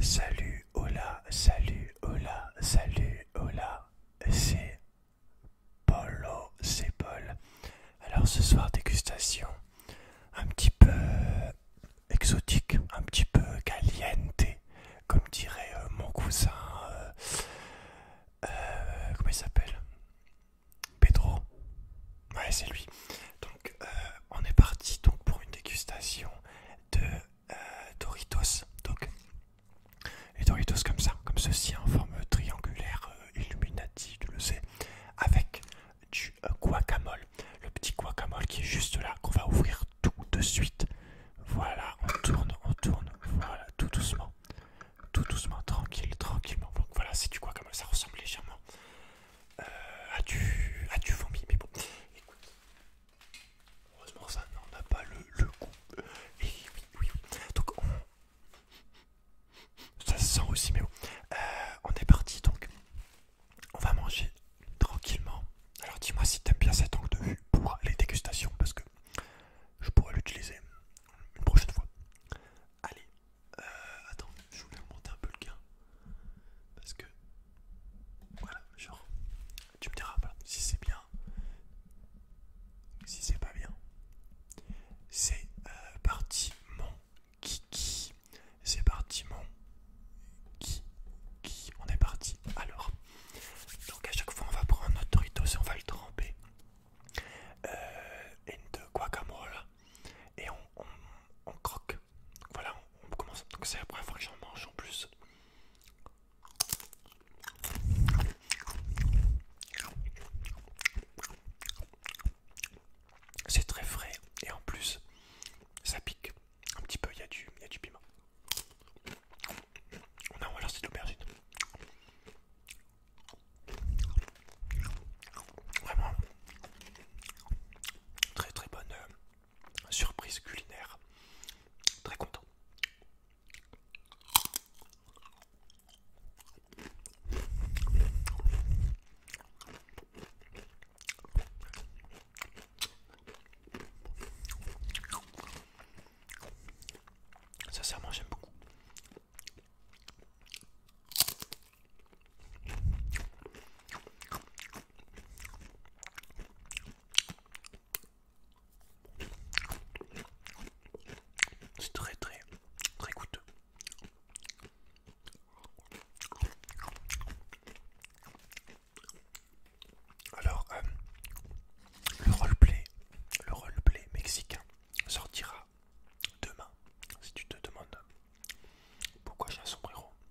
Salut hola, salut hola, salut hola, c'est Polo, c'est Paul. Alors ce soir dégustation un petit peu exotique, un petit peu caliente, comme dirait euh, mon cousin, euh, euh, comment il s'appelle Pedro. Ouais c'est lui. Euh, on est parti donc pour une dégustation de euh, Doritos. Donc les Doritos comme ça, comme ceci en forme triangulaire euh, Illuminati, tu le sais, avec du guacamole, le petit guacamole qui est juste là qu'on va ouvrir tout de suite. Voilà, on tourne, on tourne, voilà, tout doucement, tout doucement, tranquille, tranquillement. Donc voilà, c'est du guacamole, ça ressemble légèrement euh, as-tu, du, a vomi, mais bon, écoute, heureusement ça n'en a pas le, le goût. Et euh, oui, oui, Donc on... ça se sent aussi, mais bon, euh, on est parti donc. On va manger tranquillement. Alors dis-moi si t'aimes bien cet angle de vue pour les dégustations parce que je pourrais l'utiliser une prochaine fois. Allez, attends, je voulais augmenter un peu le gain parce que voilà, genre, tu me diras si c'est bien, si c'est pas bien. C'est euh, parti mon kiki, c'est parti mon kiki, on est parti. Alors, donc à chaque fois on va prendre notre Doritos et on va le tremper. Euh, et de guacamole et on croque voilà, on commence. Donc c'est la première fois que j'en mange en plus. C'est très frais et en plus ça pique un petit peu, il y, a du piment. On a ou alors c'est de l'aubergine. Vraiment très très bonne euh, surprise culinaire. Très content. Sincèrement, j'aime beaucoup. C'est très très très coûteux. Alors euh, le roleplay, le roleplay mexicain sortira demain. Si tu te demandes pourquoi j'ai un sombrero,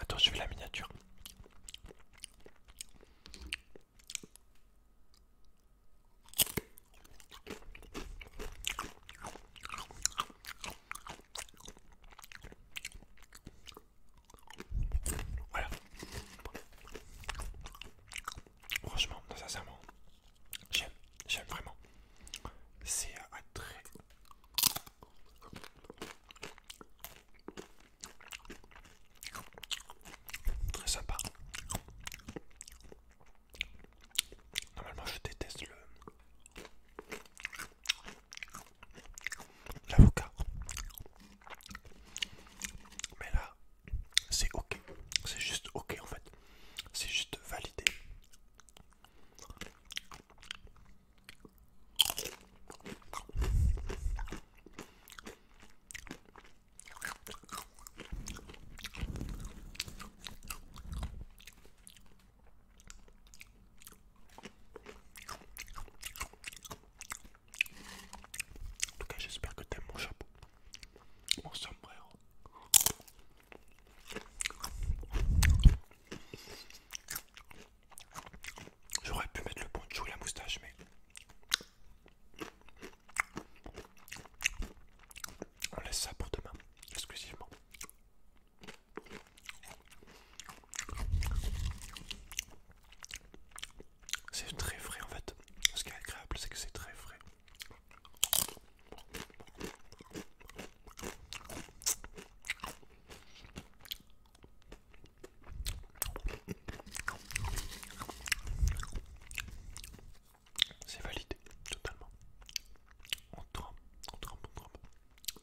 Attends, je vais la miniature. Voilà. Franchement, sincèrement, j'aime, j'aime vraiment. C'est très... Très sympa. Normalement, je déteste le l'avocat. Mais là, c'est ok. C'est juste ok en fait. C'est juste validé. En tout cas, j'espère que t'aimes mon chapeau. Mon sombrero. J'aurais pu mettre le poncho et la moustache, mais. On laisse ça pour demain, exclusivement. C'est très frais en fait. Ce qui est agréable, c'est que c'est très frais. C'est validé totalement. On trempe, on trempe, on trempe.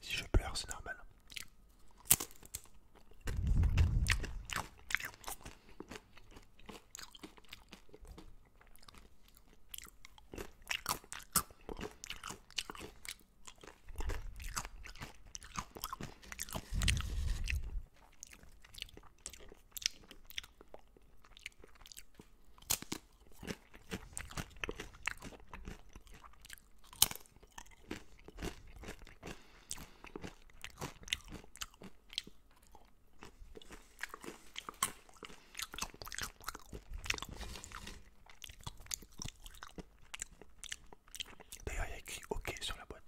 Si je pleure, c'est normal. D'ailleurs, il y a écrit OK sur la boîte.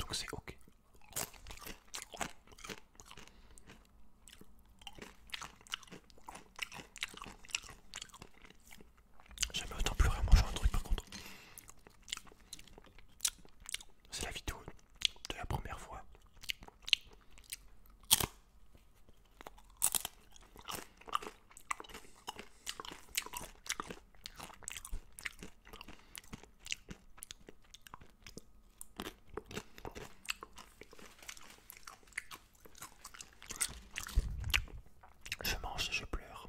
Donc c'est ok. Jamais autant plus en mangeant un truc par contre. C'est la vidéo de la première fois je mange et je pleure.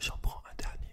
J'en prends un dernier.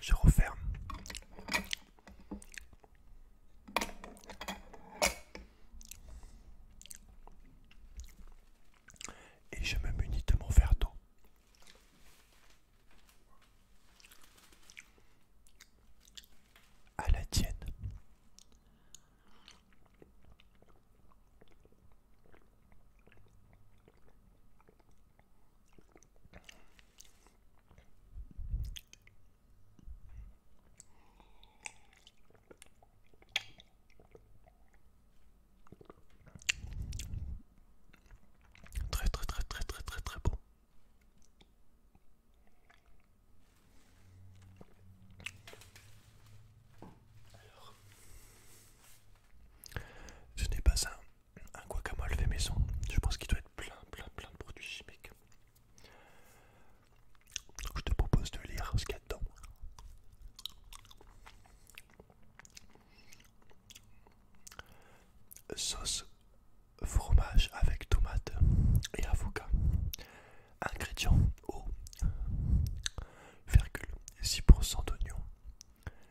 Je referme. Et je me munis de mon verre d'eau. À la tienne. Très très très très très très très bon. Alors, je n'ai pas ça un guacamole fait maison. Je pense qu'il doit être plein, plein, plein de produits chimiques. Je te propose de lire ce qu'il y a dedans. Sauce fromage avec tomate et avocat. Ingrédients eau, virgule 6% d'oignon,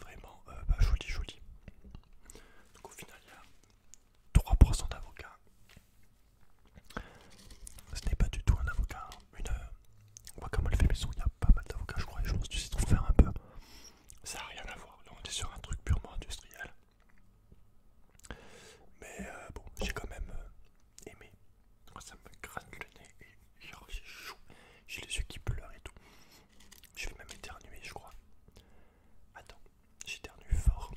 Vraiment euh, bah, joli, joli. Donc au final, il y a 3% d'avocats. Ce n'est pas du tout un avocat. Hein. Une euh, le fait maison, il y a pas mal d'avocats, je crois. Et je pense que tu sais faire un peu. Ça n'a rien à voir. Là, on est sur un truc purement industriel. Mais euh, bon, j'ai quand même aimé. Ça me gratte le nez j'ai les yeux qui pleurent et tout. Je vais même éternuer je crois. Attends, j'éternue fort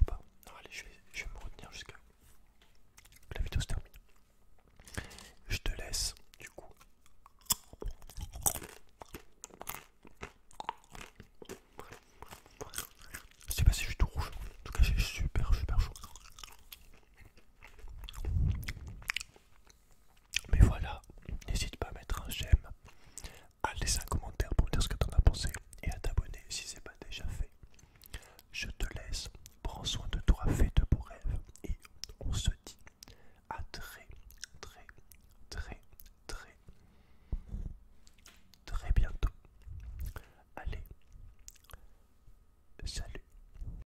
ou pas Non allez je vais, je vais me retenir jusqu'à que la vidéo se termine. Je te laisse du coup. Je sais pas si je suis tout rouge, en tout cas j'ai super super chaud. Mais voilà, n'hésite pas à mettre un j'aime, à laisser un commentaire pour me dire ce que t'en as pensé et à t'abonner si c'est pas déjà fait. Je te laisse, prends soin de toi, fais de beaux rêves et on se dit à très très très très très bientôt. Allez, salut